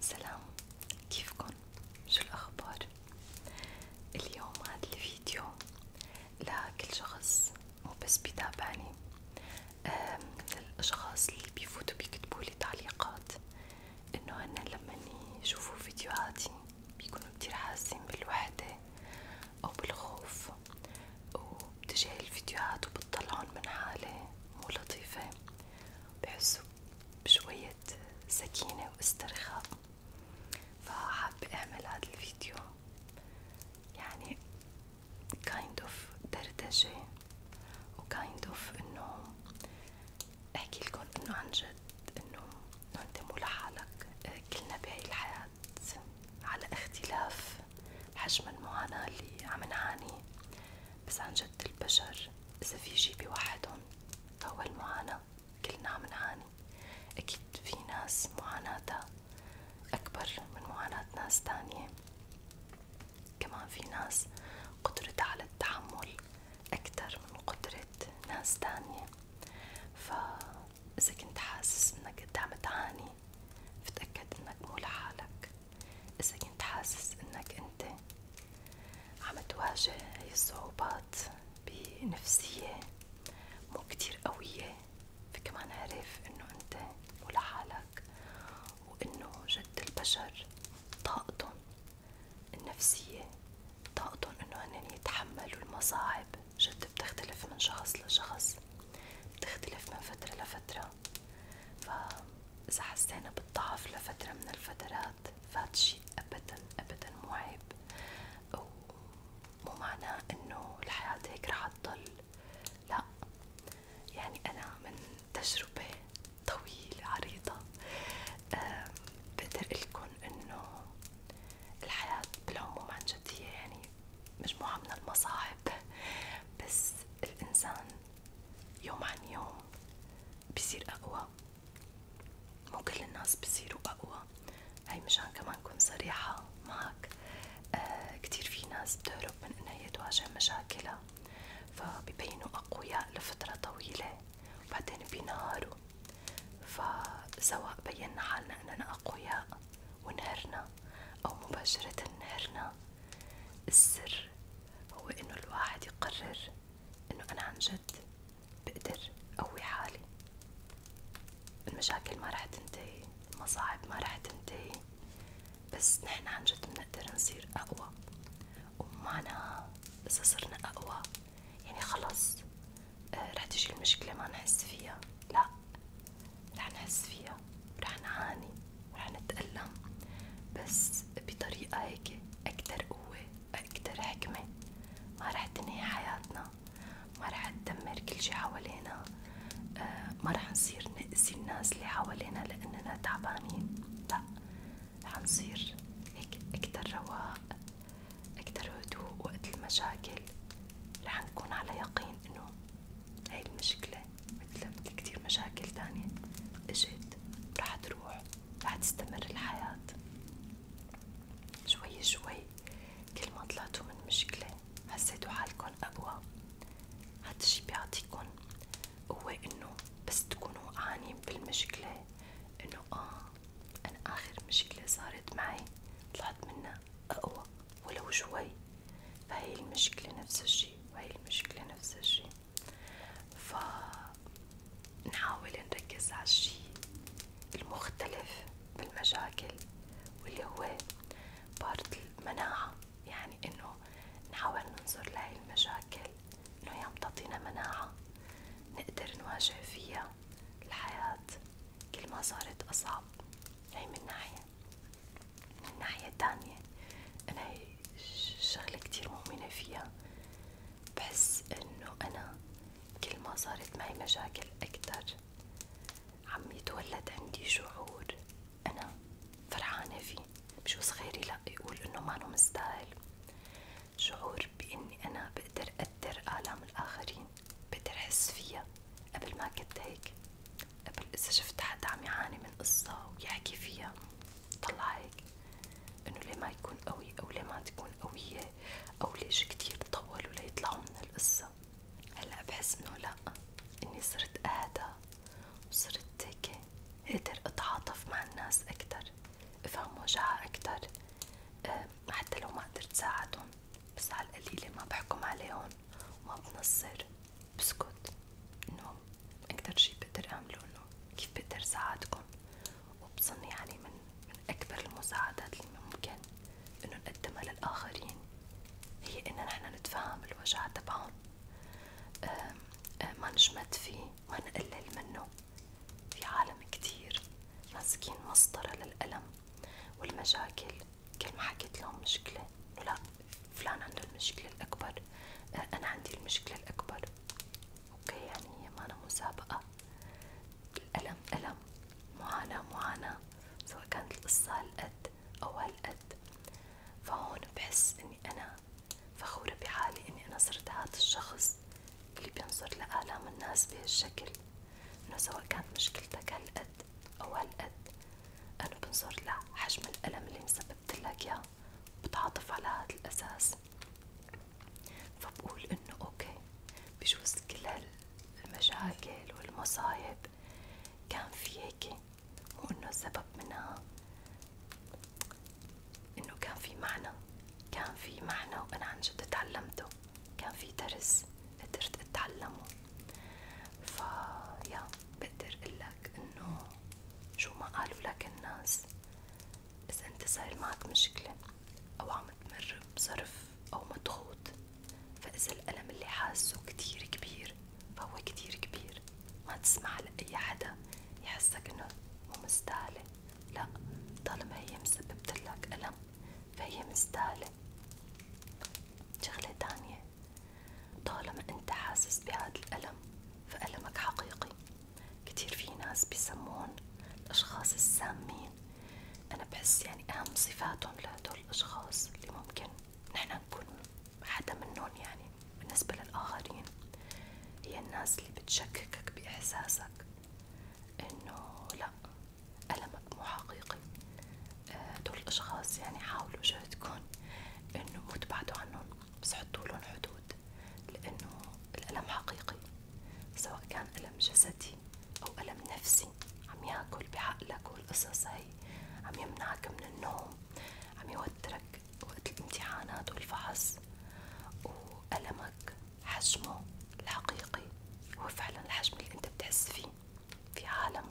سلام كيفكن شو الأخبار اليوم هاد الفيديو لكل شخص مو بس بيتابعني للأشخاص اللي بيفوتوا بيكتبولي تعليقات إنه هن لما يشوفوا فيديوهاتي بيكونوا كتير حاسين بالوحدة أو بالخوف وبتجي الفيديوهات وبتطلعن من حالة مو لطيفة بحسوا بشوية سكينة واسترخاء فحابة أعمل هذا الفيديو يعني kind of دردشة وكايند اوف انه احكي لكم انه انت مو لحالك كلنا بهاي الحياة على اختلاف حجم المعاناة اللي عم نعاني بس عن البشر إذا في شي بوحدهم فهو المعاناة كلنا عم نعاني أكيد في ناس معاناتها أكبر من معاناة ناس تانية كمان في ناس قدرتها على التحمل أكتر من قدرة ناس تانية فإذا كنت حاسس إنك أنت عم تعاني فتأكد إنك مو لحالك إذا كنت حاسس إنك أنت عم تواجه هاي الصعوبات بنفسية مو كتير قوية فكمان عرف إنه أنت مو لحالك وإنه جد البشر طاقتهم النفسية طاقتهم إنه هن يتحملوا المصاعب جد بتختلف من شخص لشخص بتختلف من فترة لفترة فإذا حسينا بالضعف لفترة من الفترات فهاد الشي أبدا أبدا مو عيب ومو معناه إنه الحياة هيك رح تضل لا يعني أنا من تجربة طويلة عريضة بقدر لكم إنه الحياة بالعموم عن جدية يعني مجموعة من المصاعب بس الإنسان يوم عن يوم بصير أقوى مو كل الناس بصيروا أقوى هاي مشان كمان كون صريحة معك آه كتير في ناس بتهرب من انها تواجه مشاكلها فبيبينوا أقوياء لفترة طويلة وبعدين بينهاروا فسواء بينا حالنا اننا أقوياء ونهرنا أو مباشرة نهرنا السر هو إنه الواحد يقرر إنه أنا عن جد بقدر اقوي حالي المشاكل ما رح تنتهي المصاعب ما رح تنتهي بس نحن عن جد بنقدر نصير أقوى ومعناها إذا صرنا أقوى يعني خلص آه، رح تجي المشكلة ما نحس فيها لا رح نحس فيها ورح نعاني ورح نتألم بس بطريقة هيك أكتر قوة أكتر حكمة ما رح تنهي حياتنا ما رح تدمر كل شي حوالينا آه، ما رح نصير نأذي الناس اللي حوالينا لأننا تعبانين لا رح نصير هيك أكتر رواق أكتر هدوء وقت المشاكل رح نكون على يقين إنه هاي المشكلة مثل مثل كتير مشاكل تانية اجت رح تروح رح تستمر الحياة شوي شوي كل ما طلعتوا من مشكلة حسيتوا حالكن أقوى هاد الشي بيعطيكن قوة إنه بس تكونوا وقعانين بالمشكلة إنه آه أنا آخر مشكلة صارت معي طلعت منها أقوى ولو شوي فهي المشكلة نفس الشي وهي المشكلة نفس الشي فنحاول نركز على الشي المختلف بالمشاكل واللي هو بارت المناعة يعني انه نحاول ننظر لهي المشاكل انه يا بتعطينا مناعة نقدر نواجه فيها الحياة كل ما صارت أصعب هي من ناحية من ناحية تانية أنا شغلة كتير مؤمنة فيها بحس إنه أنا كل ما صارت معي مشاكل أكتر عم يتولد عندي شعور أنا فرحانة فيه مش غيري لأ يقول إنه مانو مستاهل شعور بإني أنا بقدر أقدر آلام الآخرين بتحس فيها قبل ما كنت هيك قبل إذا شفت حدا عم يعاني من قصة ويحكي فيها طلع هيك إنه ليه ما يكون قوي أو ليه ما تكون قوية أو ليش كتير طولوا ليطلعوا من القصة هلا بحس إنه لأ إني صرت أهدى وصرت هيك قادر أتعاطف مع الناس أكتر أفهم وجعها أكتر آه، حتى لو ما قدرت ساعدهم بس هالقليلة ما بحكم عليهم وما بنصر بسكت انه اكتر شي بقدر اعمله انه كيف بقدر ساعدكم وبظن يعني من اكبر المساعدات اللي ممكن انه نقدمها للاخرين هي ان نحن نتفهم الوجع تبعهم أه، ما نجمد فيه ما نقلل منه في عالم كتير ماسكين مسطرة للألم والمشاكل كل ما حكيت مشكلة إنه لا فلان عنده المشكلة الأكبر آه، أنا عندي المشكلة الأكبر أوكي يعني هي مانا مسابقة الألم ألم معاناة معاناة سواء كانت القصة هالقد أو هالقد فهون بحس إني أنا فخورة بحالي إني أنا صرت هذا الشخص اللي بينظر لآلام الناس بهالشكل إنه سواء كانت مشكلتك هالقد أو هالقد أنا بنظر لحجم الألم اللي مسببتلك إياه بتعاطف على هاد الأساس فبقول إنه أوكي بجوز كل هالمشاكل والمصايب كان في هيك مو إنه منها إنه كان في معنى كان في معنى وأنا عن جد تعلمته كان في درس قدرت اتعلمه فيا بقدر اقلك انه شو ما قالوا لك الناس اذا انت صاير معك مشكلة او عم تمر بظرف او مضغوط فاذا الألم اللي حاسه كتير كبير فهو كتير كبير ما تسمح لأي حدا يحسك انه مو مستاهلة لا طالما هي مسببتلك ألم فهي مستاهلة شغلة تانية طالما انت حاسس بهذا الألم فألمك حقيقي كتير في ناس بيسمون الأشخاص السامين أنا بحس يعني أهم صفاتهم لهدول الأشخاص اللي ممكن نحن نكون حدا منهم يعني بالنسبة للآخرين هي الناس اللي بتشككك بإحساسك إنه لأ ألم مو حقيقي آه، دول الأشخاص يعني حاولوا جهدكن إنه مو تبعدوا عنهم بس حطولن حدود لأنه الألم حقيقي سواء كان ألم جسدي أو ألم نفسي عم ياكل بعقلك والقصص هي عم يمنعك من النوم عم يوترك وقت الامتحانات والفحص وألمك حجمه الحقيقي هو فعلا الحجم اللي انت بتحس فيه في عالم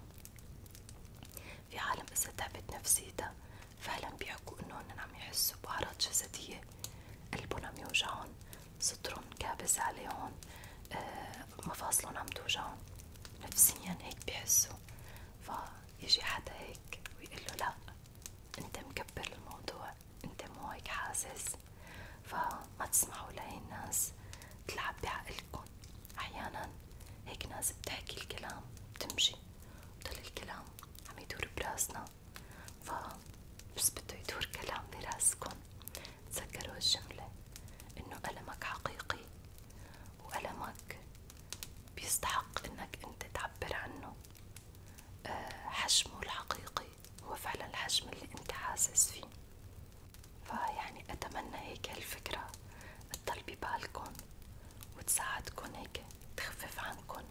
في عالم إذا تعبت نفسيتها فعلا بيحكوا إنه هن عم يحسوا بأعراض جسدية قلبهم عم يوجعهم صدرهم كابس عليهم آه مفاصلهم عم توجعهم نفسيا هيك بيحسوا فيجي حدا هيك ويقول له لا انت مكبر الموضوع انت مو هيك حاسس فما تسمعوا لهي الناس تلعب بعقلكم احيانا هيك ناس بتحكي الكلام بتمشي بضل الكلام عم يدور براسنا ف بس بده يدور كلام براسكم تذكروا الجملة انه ألمك حقيقي وألمك بيستحق انك انت تعبر عنه آه، حجمه الحقيقي شخصي هو فعلا الحجم اللي انت حاسس فيه فيعني اتمنى هيك الفكرة تضل ببالكن وتساعدكن هيك تخفف عنكن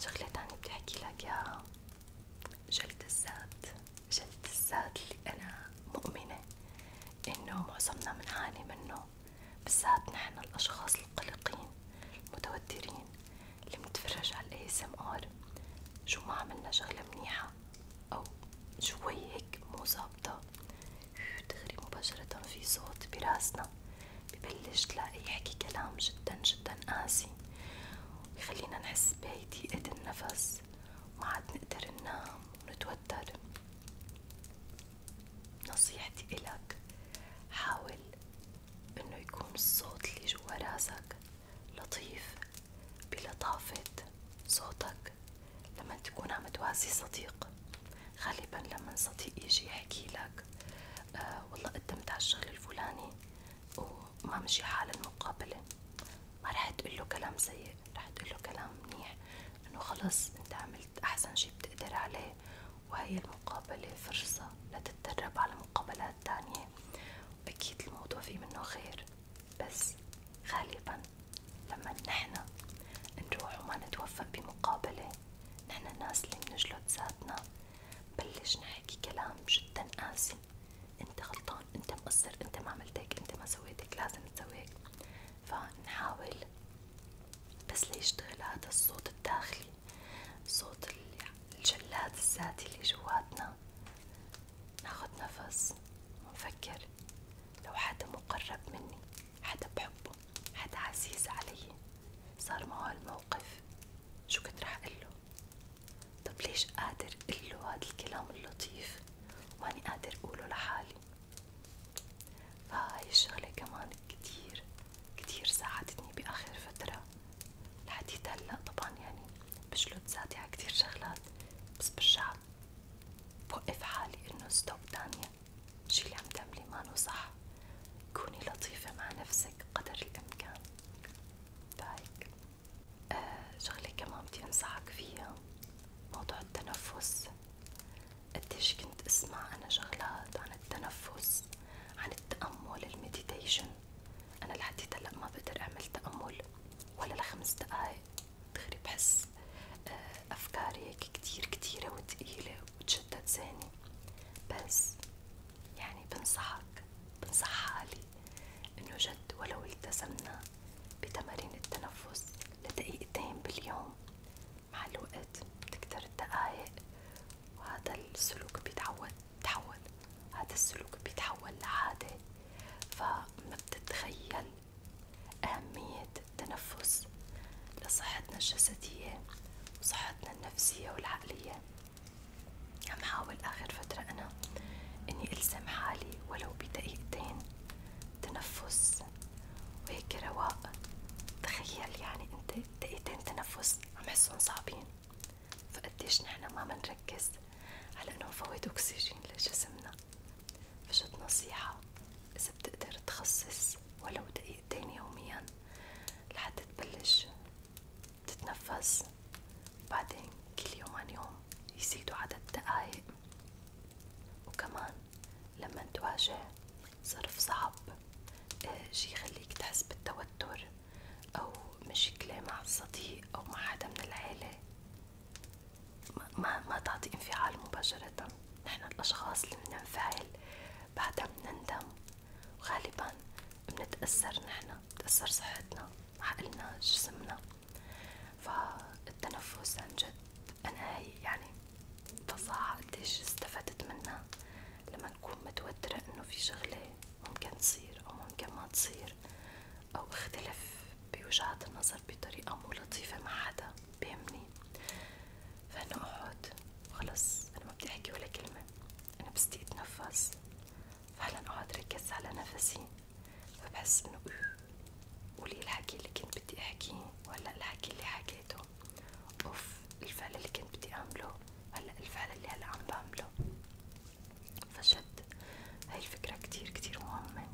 شغلة تانية بدي احكي لك يا جلد الذات جلد الذات اللي انا مؤمنة انه معظمنا بنعاني منه بالذات نحن الاشخاص القلقين المتوترين اللي متفرج على الاي اس ام ار شو ما عملنا شغله منيحه او شوي هيك مو ظابطه دغري مباشره في صوت براسنا ببلش تلاقي يحكي كلام جدا جدا قاسي ويخلينا نحس بهي ضيقه النفس وما عاد نقدر ننام ونتوتر نصيحتي إلك حاول إنه يكون الصوت اللي جوا راسك لطيف بلطافة صوتك لما تكون عم تواسي صديق غالبا لما صديق يجي يحكي لك آه، والله قدمت على الفلاني وما مشي حال المقابلة ما رح تقله كلام سيء رح تقله كلام منيح انه خلص انت عملت احسن شي بتقدر عليه وهي المقابلة فرصة لتتدرب على مقابلات أكيد الموضوع في منه خير بس غالبا لما نحن نروح وما نتوفق بمقابلة نحن الناس اللي بنجلد ذاتنا بلش نحكي كلام جدا قاسي انت غلطان انت مقصر انت ما عملت هيك انت ما سويت هيك لازم تسوي هيك فنحاول بس ليشتغل هذا الصوت الداخلي صوت الجلاد الذاتي اللي جواتنا ناخد نفس ونفكر لو حدا مقرب مني حدا بحبه حدا عزيز علي صار معه هالموقف شو كنت رح قله طب ليش قادر قله هاد الكلام اللطيف وماني قادر قوله لحالي فهاي الشغلة كمان كتير كتير ساعدتني بآخر فترة لحديت هلا طبعا يعني بشلت ذاتي على كتير شغلات بس برجع بوقف حالي انه ستوب تانية الشي اللي عم تعملي مانو صح كوني لطيفة مع نفسك قدر الامكان فهيك آه شغلة كمان بدي انصحك فيها موضوع التنفس قديش كنت اسمع انا شغلات عن التنفس عن التأمل المديتيشن أنا لحديت هلا ما بقدر أعمل تأمل ولا لخمس دقايق دغري بحس آه، أفكاري هيك كتير كتيرة وتقيلة وتشتت ذهني بس يعني بنصحك بنصح حالي إنه جد ولو التزمنا بتمارين التنفس لدقيقتين باليوم مع الوقت الوقت بتكتر الدقايق وهذا السلوك بيتعود تحول هذا السلوك بيتحول لعادة فما بتتخيل أهمية التنفس لصحتنا الجسدية وصحتنا النفسية والعقلية عم حاول آخر فترة أنا إني ألزم حالي ولو بدقيقتين تنفس وهيك رواق تخيل يعني أنت دقيقتين تنفس عم حسهم صعبين فقديش نحنا ما منركز على انه نفوت اكسجين لجسمنا فجت نصيحة اذا بتقدر تخصص ولو دقيقتين يوميا لحتى تبلش تتنفس بعدين كل يوم عن يوم يزيدوا عدد دقايق وكمان لما تواجه صرف صعب آه، شي يخليك تحس بالتوتر أو مشكلة مع الصديق أو مع حدا من العيلة ما ما تعطي انفعال مباشرة، نحن الأشخاص اللي بننفعل بعدها بنندم وغالبا بنتأثر نحن، بتأثر صحتنا، عقلنا، جسمنا، فالتنفس عن جد أنا هي يعني فظاعة قديش استفدت منها لما نكون متوترة إنه في شغلة ممكن تصير أو ممكن ما تصير أو اختلف بوجهات النظر بطريقة مو لطيفة مع حدا بيهمني فأنا أقعد خلص أنا ما بدي أحكي ولا كلمة أنا بس بدي فعلا أقعد ركز على نفسي فبحس إنه قولي الحكي اللي كنت بدي أحكيه ولا الحكي اللي حكيته اعمله اوف الفعل اللي كنت بدي اعمله هلا الفعل اللي هلا عم بعمله فجد هاي الفكرة كتير كتير مهمة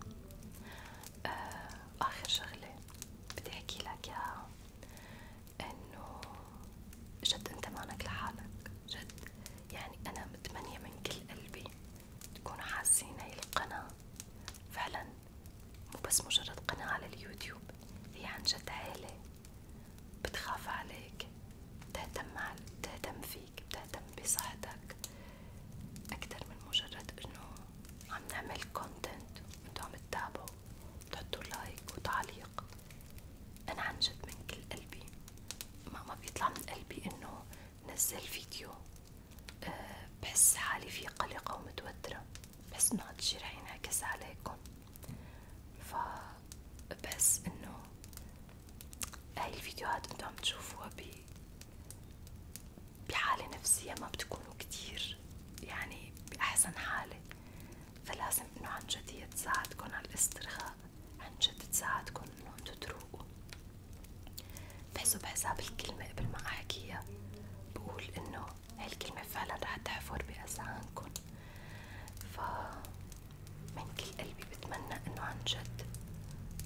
آه، آخر شغلة بدي احكي لك اياها انه جد انت مانك لحالك جد يعني انا متمنية من كل قلبي تكونوا حاسين هاي القناة فعلا مو بس مجرد قناة على اليوتيوب هي عن جد عيلة بتخاف عليك بتهتم بتهتم فيك بتهتم بصحتك أكتر من مجرد إنه عم نعمل كونتنت وانتو عم تتابعوا تحطوا لايك وتعليق أنا عن جد من كل قلبي ما ما بيطلع من قلبي إنه نزل فيديو أه، بحس حالي في قلقة ومتوترة بحس انه هالشي رح ينعكس عليكم فبحس انه هاي الفيديوهات انتو عم تشوفوها ب بحالة نفسية ما بتكونوا كتير يعني بأحسن حالة فلازم انه عن جد هي تساعدكن على الاسترخاء عن جد تساعدكن انه انتو تروقوا بحسب حساب الكلمة قبل ما أحكيها بقول إنه هالكلمة فعلا رح تحفر بأذهانكن ف من كل قلبي بتمنى إنه عن جد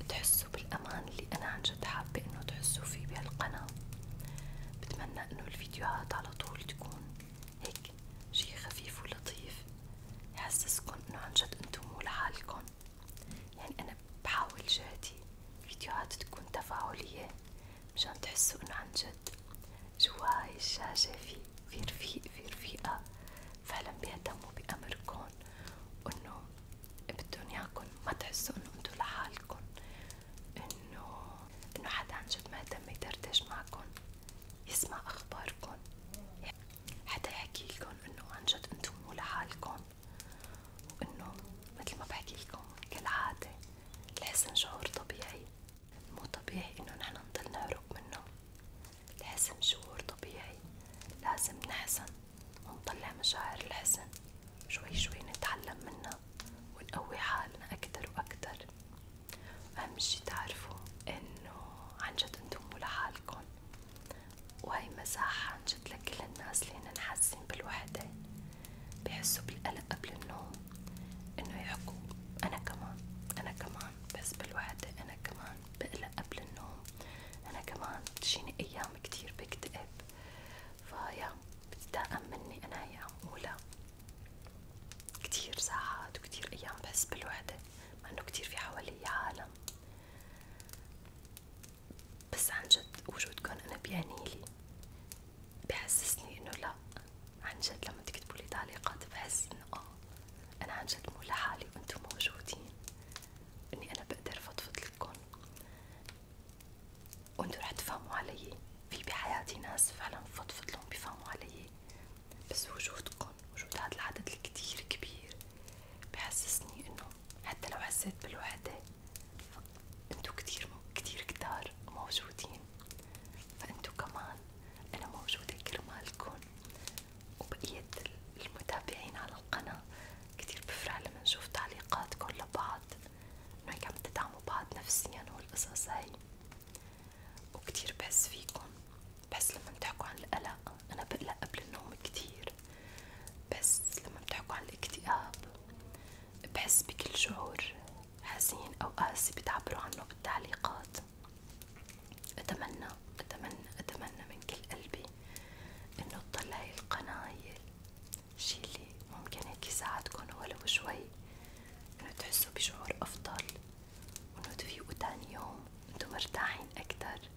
تحسوا بالأمان اللي أنا عن جد حابة إنه تحسوا فيه بهالقناة بتمنى إنه الفيديوهات على طول تكون هيك شي خفيف ولطيف يحسسكن إنه عن جد أنتم مو لحالكن يعني أنا بحاول جهدي فيديوهات تكون تفاعلية مشان تحسوا انه عن جد جوا هاي الشاشة في في رفيق في رفيقة فعلا بيهتموا بأمركن وانه بدون ياكن ما تحسوا انه انتو لحالكن انه انه حدا عن جد مهتم يدردش معكن يسمع اخباركن حدا يحكيلكن انه عن جد انتو مو لحالكن وإنه مثل ما بحكي لكم كالعادة لحسن شعور طبيعي مو طبيعي إنه نحن نضل نهرب منه الحزن شعور طبيعي لازم نحزن ونطلع مشاعر الحزن شوي شوي نتعلم منها ونقوي حالنا أكتر وأكتر أهم شي تعرفوا إنه عنجد أنتم مو لحالكن وهي مساحة عن جد لكل الناس اللي هن حاسين بالوحدة بحسوا بالقلق قبل النوم انه يحكوا انا كمان انا كمان بحس بالوحدة انا كمان بقلق قبل النوم انا كمان بتجيني ايام كتير بكتئب فيا بتتاقم مني انا هي عم قولها كتير ساعات وكتير ايام بحس بالوحدة مع انه كتير في حوالي عالم بس عن جد وجودكن أنا بيعنيلي بحسسني إنه لأ عن جد لما تكتبولي تعليقات بحس إنه آه أنا عن جد مو لحالي وأنتم موجودين إني أنا بقدر فضفض لكم وأنتم رح تفهموا علي في بحياتي ناس فعلا بفضفض لهم بيفهموا علي بس وجودكن وجود هاد العدد الكتير كبير بحسسني إنه حتى لو حسيت بالوحدة انتو كتير كتير كتار موجودين فانتو كمان انا موجودة كرمالكن وبقية المتابعين على القناة كتير بفرح لما نشوف تعليقاتكن لبعض انو هيك عم تدعموا بعض نفسيا والقصص هاي وكتير بحس فيكن بحس لما تحكوا عن القلق أنا بقلق قبل النوم كتير بس لما بتحكوا عن الاكتئاب بحس بكل شعور حزين أو قاسي بتعبروا عنه بالتعليقات أتمنى أتمنى أتمنى من كل قلبي إنه تضل هاي القناة هي الشي اللي ممكن هيك يساعدكن ولو شوي إنه تحسوا بشعور أفضل وإنه تفيقوا تاني يوم إنتو مرتاحين أكتر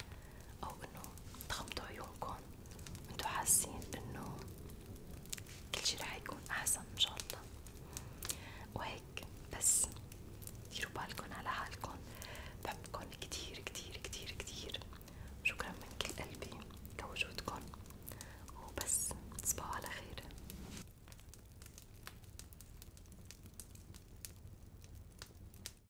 او انه تغمضوا عيونكم وانتو حاسين انه كل شي رح يكون احسن ان شاء الله وهيك بس ديروا بالكم على حالكم بحبكم كتير كتير كتير كتير شكرا من كل قلبي لوجودكم وبس تصبحوا على خير